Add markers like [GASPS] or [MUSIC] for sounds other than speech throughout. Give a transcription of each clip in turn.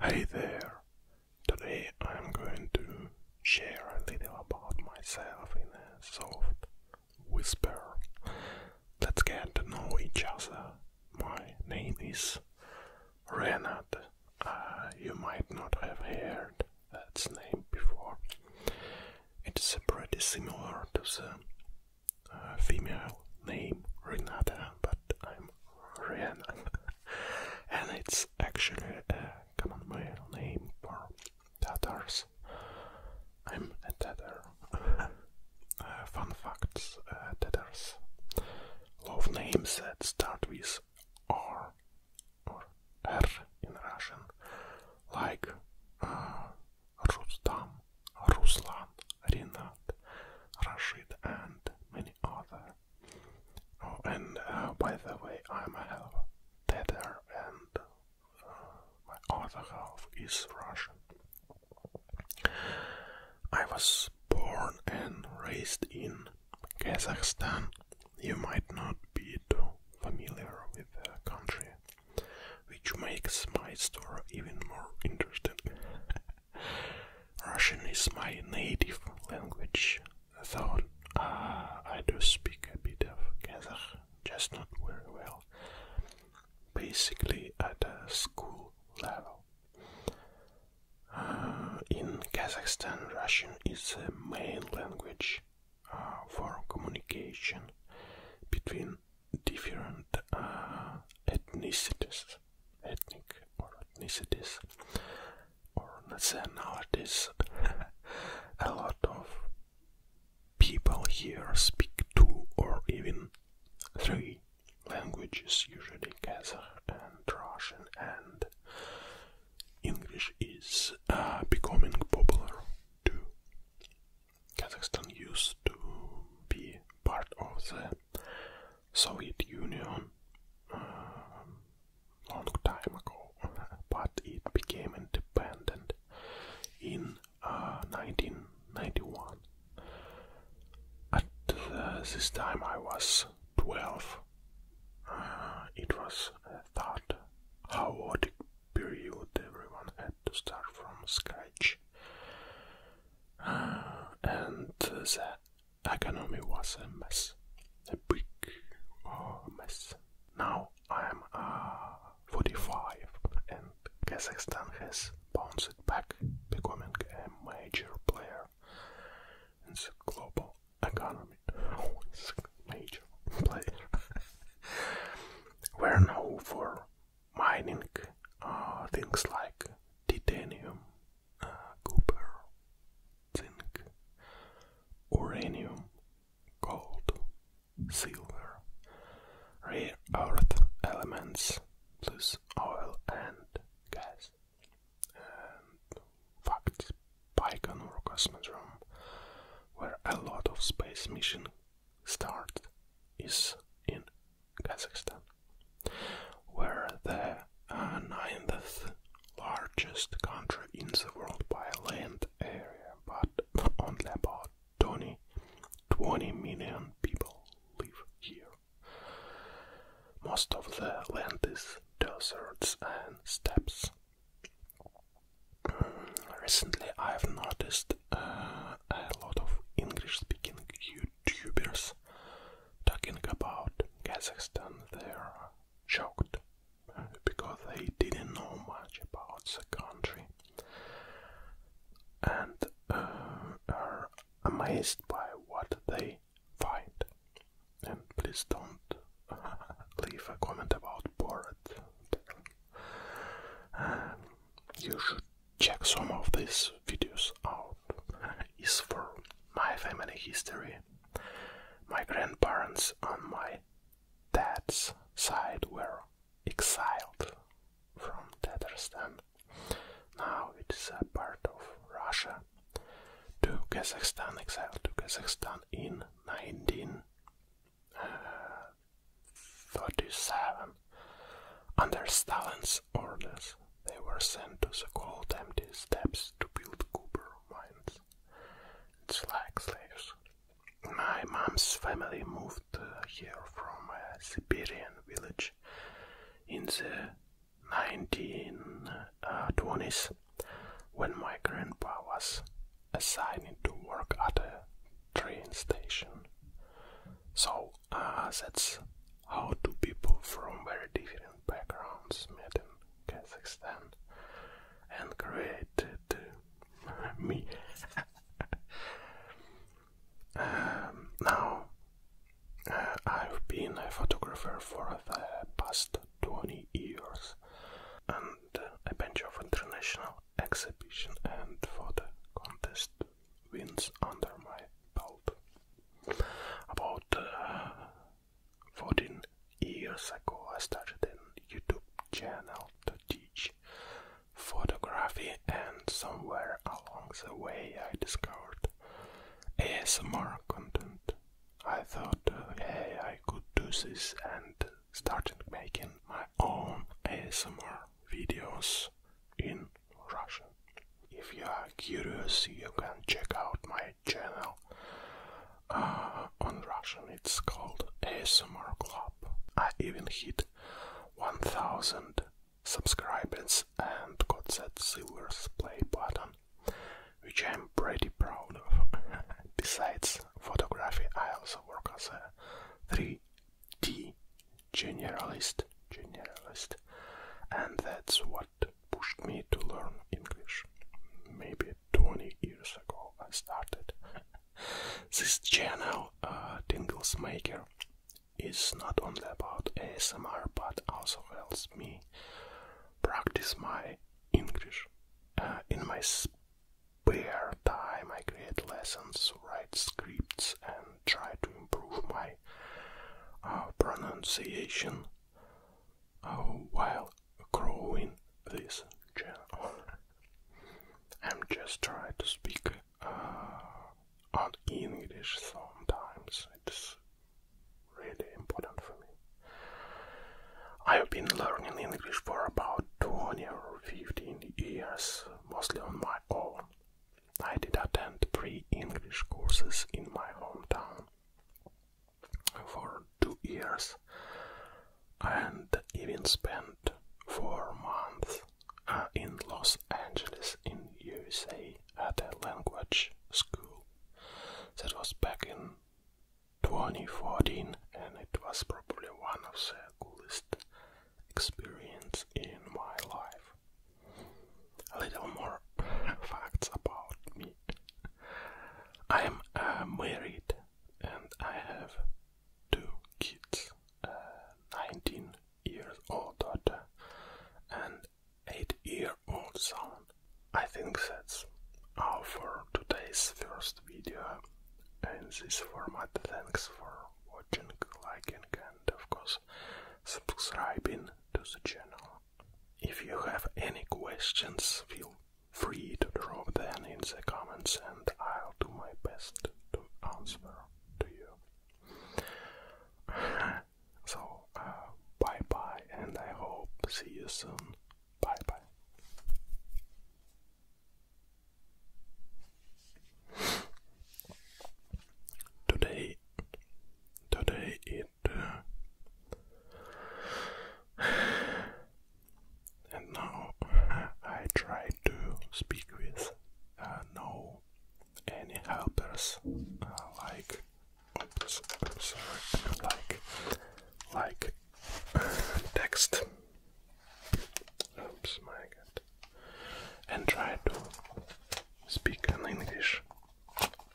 Hey there! Today I'm going to share a little about myself in a soft whisper. Let's get to know each other. My name is Renat. Uh, you might not have heard that name before. It's pretty similar to the uh, female name Renata, but I'm Rihanna, [LAUGHS] and it's actually a uh, common male name for Tatars. I'm a [LAUGHS] uh, fun facts: uh, Tatars love names that start with R or R in Russian, like uh, Rustam, Ruslan, Rinat, Rashid, and many other. Oh, and uh, by the way, I'm a half Tatar, and uh, my other half is Russian. I was born and raised in Kazakhstan. You might not be too familiar with the country, which makes my story even more interesting. Russian is my native language, though I do speak a bit of Kazakh, just not very well. Basically, at a school level. Uh, in Kazakhstan, Russian is the main language uh, for communication between different uh, ethnicities ethnic or ethnicities or nationalities. [LAUGHS] A lot of people here speak two or even three languages, usually Kazakh and Russian, and English is uh, becoming popular too. Kazakhstan used to be part of the Soviet Union um, long time ago, [LAUGHS] but it became independent in 1991. Uh, At uh, this time I was 12. Uh, it was a third chaotic period, everyone had to start from scratch. [GASPS] and the uh, economy was a mess, a big mess. Now I'm uh, 45 and Kazakhstan has bounced back, becoming a major player in the global economy. A [LAUGHS] major player. [LAUGHS] We're now for mining uh, things like titanium, uh, copper, zinc, uranium, gold, silver, rare earth elements, plus oil and gas. And facts, Baikonur Cosmodrome, where a lot of space mission start is in Kazakhstan, where the uh, ninth largest country in the world by land area, but [LAUGHS] only about 20, 20 million people live here. Most of the land is deserts and steppes. Mm, recently, I've noticed a lot of English-speaking YouTubers talking about Kazakhstan. They're shocked because they didn't know much about the country and uh, are amazed by what they find. And please don't [LAUGHS] leave a comment about bored. you should check some of these videos out [LAUGHS] is for my family history. My grandparents on my dad's side were exiled from Tatarstan. Now it is a part of Russia to Kazakhstan, exiled to Kazakhstan in 19 37. Under Stalin's orders, they were sent to the cold empty steppes to build copper mines. It's like slaves. My mom's family moved here from a uh, Siberian village in the 1920s uh, when my grandpa was assigned to work at a train station. So uh, that's how two people from very different backgrounds met in Kazakhstan and created uh, me. [LAUGHS] Um, now, uh, I've been a photographer for the past 20 years, and a bunch of international exhibition and for the contest wins under my belt. About uh, 14 years ago, I started a YouTube channel to teach photography, and somewhere along the way, I discovered ASMR content. I thought, uh, hey, I could do this, and started making my own ASMR videos in Russian. If you are curious, you can check out my channel uh, on Russian. It's called ASMR Club. I even hit 1000 subscribers and got that silver play button, which I'm pretty proud of. [LAUGHS] Besides photography, I also work as a 3 G.T. Generalist, generalist, and that's what pushed me to learn English. Maybe 20 years ago I started. [LAUGHS] this channel, uh, Tingles Maker, is not only about ASMR but also helps me practice my English uh, in my spare time I create lessons, write scripts, and try to improve my uh, pronunciation uh, while growing this channel. [LAUGHS] I'm just trying to speak uh, on English sometimes. It's really important for me. I've been learning English for about 20 or 15 years, mostly on my own. I did attend pre English courses in my hometown for two years and even spent four months uh, in Los Angeles in USA at a language school. That was back in 2014 and it was probably one of the coolest experiences in my life. A little more facts about me. I am uh, married and I have two kids, a uh, 19 years old daughter and 8 year old son. I think that's all for today's first video and this format. Thanks for watching, liking and of course subscribing to the channel. If you have any questions, feel free to drop them in the comments and I'll do my best to answer to you. [LAUGHS] so, uh, bye bye and I hope see you soon. Bye bye. Today, today it uh, [SIGHS] and now [SIGHS] I try to speak with uh, no any helpers uh, like like like text. Oops, my God. And try to speak in English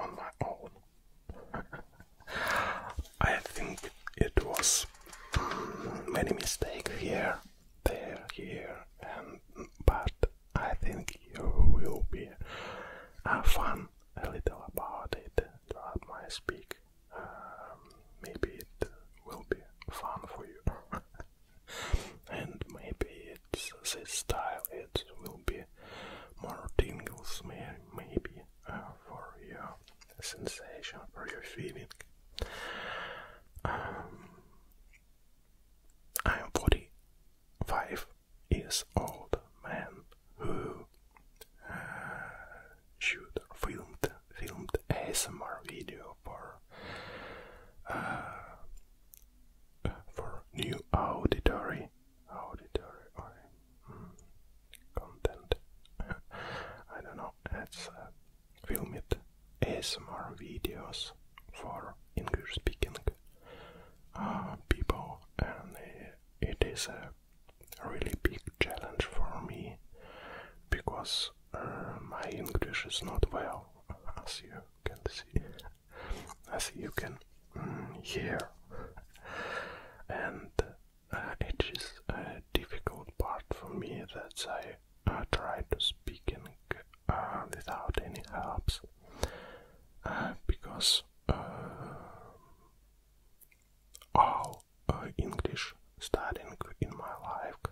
on my own. [LAUGHS] I think it was mm, many mistakes here, there, here, and but I think you will be have uh, fun a little about it throughout my speak. Um, maybe it will be fun for you. [LAUGHS] and maybe it's this style, it will be more tingles, may, maybe, uh, for your sensation, for your feeling. Um, I am 45 years old man who uh, filmed filmed ASMR video for uh, for new auditory auditory hmm, content. [LAUGHS] I don't know. It's uh, filmed ASMR videos for English speaking uh, people, and it is a really big challenge for me because uh, my English is not well, [LAUGHS] as you can see, [LAUGHS] as you can mm, hear, and uh, it is a difficult part for me that I uh, try to speak in, without any helps because all uh, English studying in my life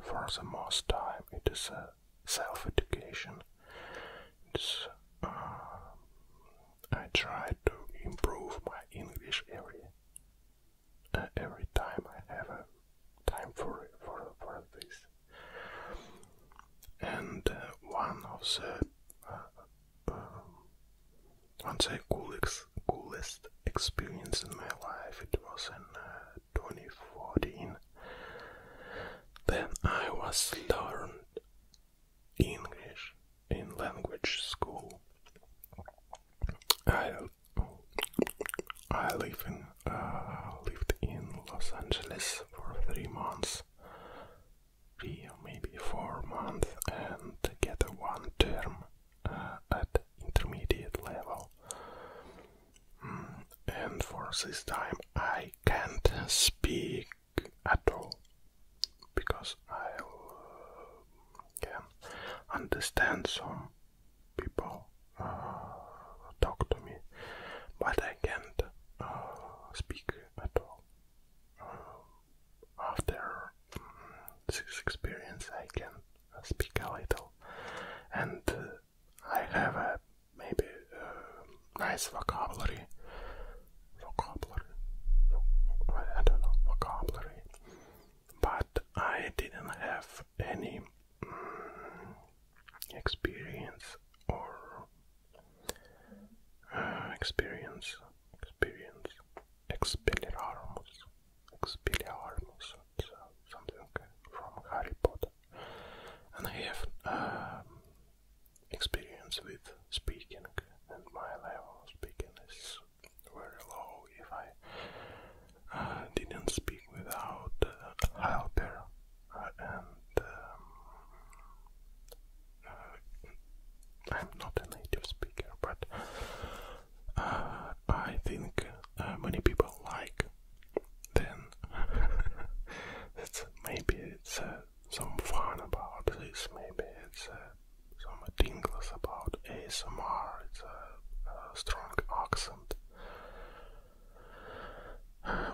for the most time. It is a self-education. It's um, I try to improve my English every uh, every time I have a time for for for this. And uh, one of the um, I'd coolest, coolest experience in my life. It was in uh, 2014. Then I was learned English in language school. I I live in uh, lived in Los Angeles for three months three maybe four months and get a one term uh, at intermediate level. Mm, and for this time I can't speak at all because i uh, can understand some people uh, talk to me, but I can't speak at all. Um, after mm, this experience, I can speak a little, and uh, I have a maybe uh, nice vocabulary. Vocabulary, I don't know vocabulary, but I didn't have any mm, experience or uh, experience, experience, Expelliarmus, Expelliarmus, something from Harry Potter, and I have um, experience with speaking, and my level of speaking is very low if I uh, didn't speak without uh, help helper and um, uh, I'm not a native speaker, but uh, I think uh, many people like. Then [LAUGHS] it's maybe it's some fun about this. Maybe it's some tingles about ASMR. It's a strong accent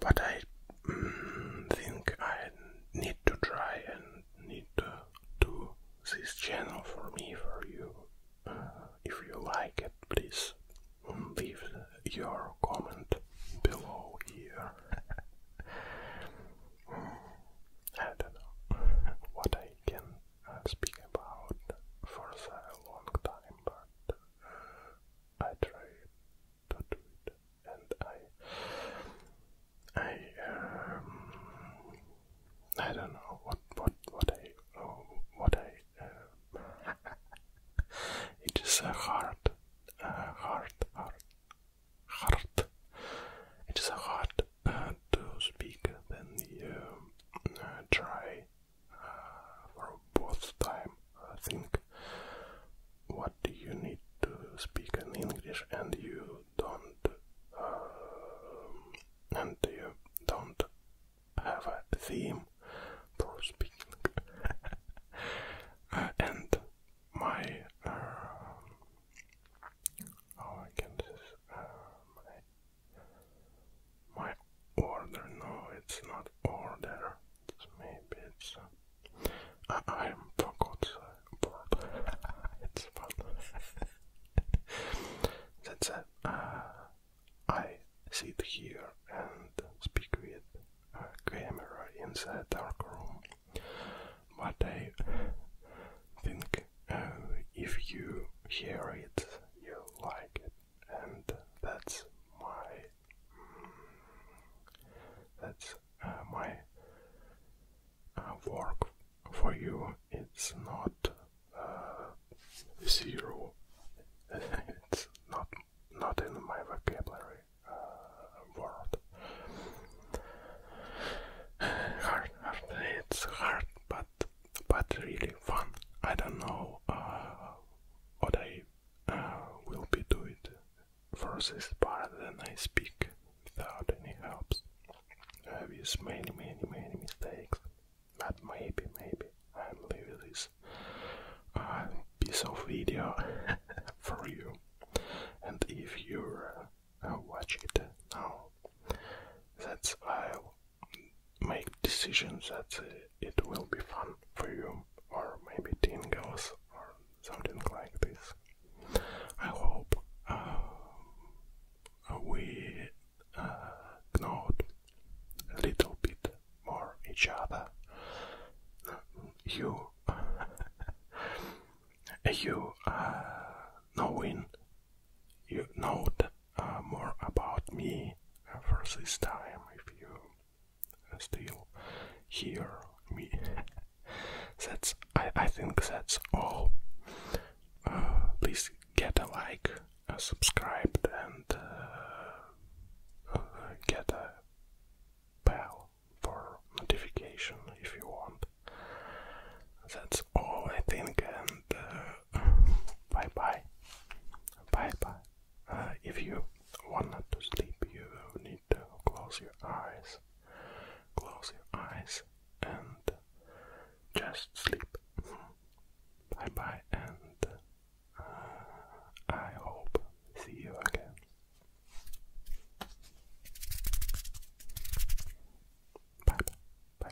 but I mm, think I need to try and need to do this channel for me, for you. Uh, if you like it, please um, leave your comment below here. [LAUGHS] I don't know [LAUGHS] what I can uh, speak about for so long time, but I try and I, I, um, I don't know what what what I what I. Uh, [LAUGHS] it is a hard, hard, hard, hard. It is a hard uh, to speak than the uh, try uh, for both time. I think what do you need to speak in English and you don't um, and you don't have a theme for speaking uh, and my uh, I can just uh, my my order no it's not order maybe it's uh, I, am for God's sake. That's it. Uh, I sit here and speak with a camera in the dark room, but I think uh, if you hear it, you like it, and that's my that's uh, my uh, work for you. It's not uh, zero. [LAUGHS] it's not not in my vocabulary word. [SIGHS] Hard, It's hard, but but really fun. I don't know what I uh, will be do it for this part then I speak without any helps uh, with many many many mistakes but maybe maybe I'm leaving this uh, piece of video [LAUGHS] for you and if you uh, watch it now that's I'll make decisions that it will be fun for you, or maybe teen girls, or something like this. I hope uh, we uh, a little bit more each other. you, uh, [LAUGHS] you uh, knowing, you know uh, more about me for this time if you still hear me. [LAUGHS] that's I, I think that's all. Uh, please get a like, a and uh, uh, get a bell for notification if you want. That's all I think, and [LAUGHS] bye bye. Bye bye. Uh, if you want to sleep, you need to close your eyes, close your eyes, and just sleep. bye bye, and uh, I hope see you again. bye. bye.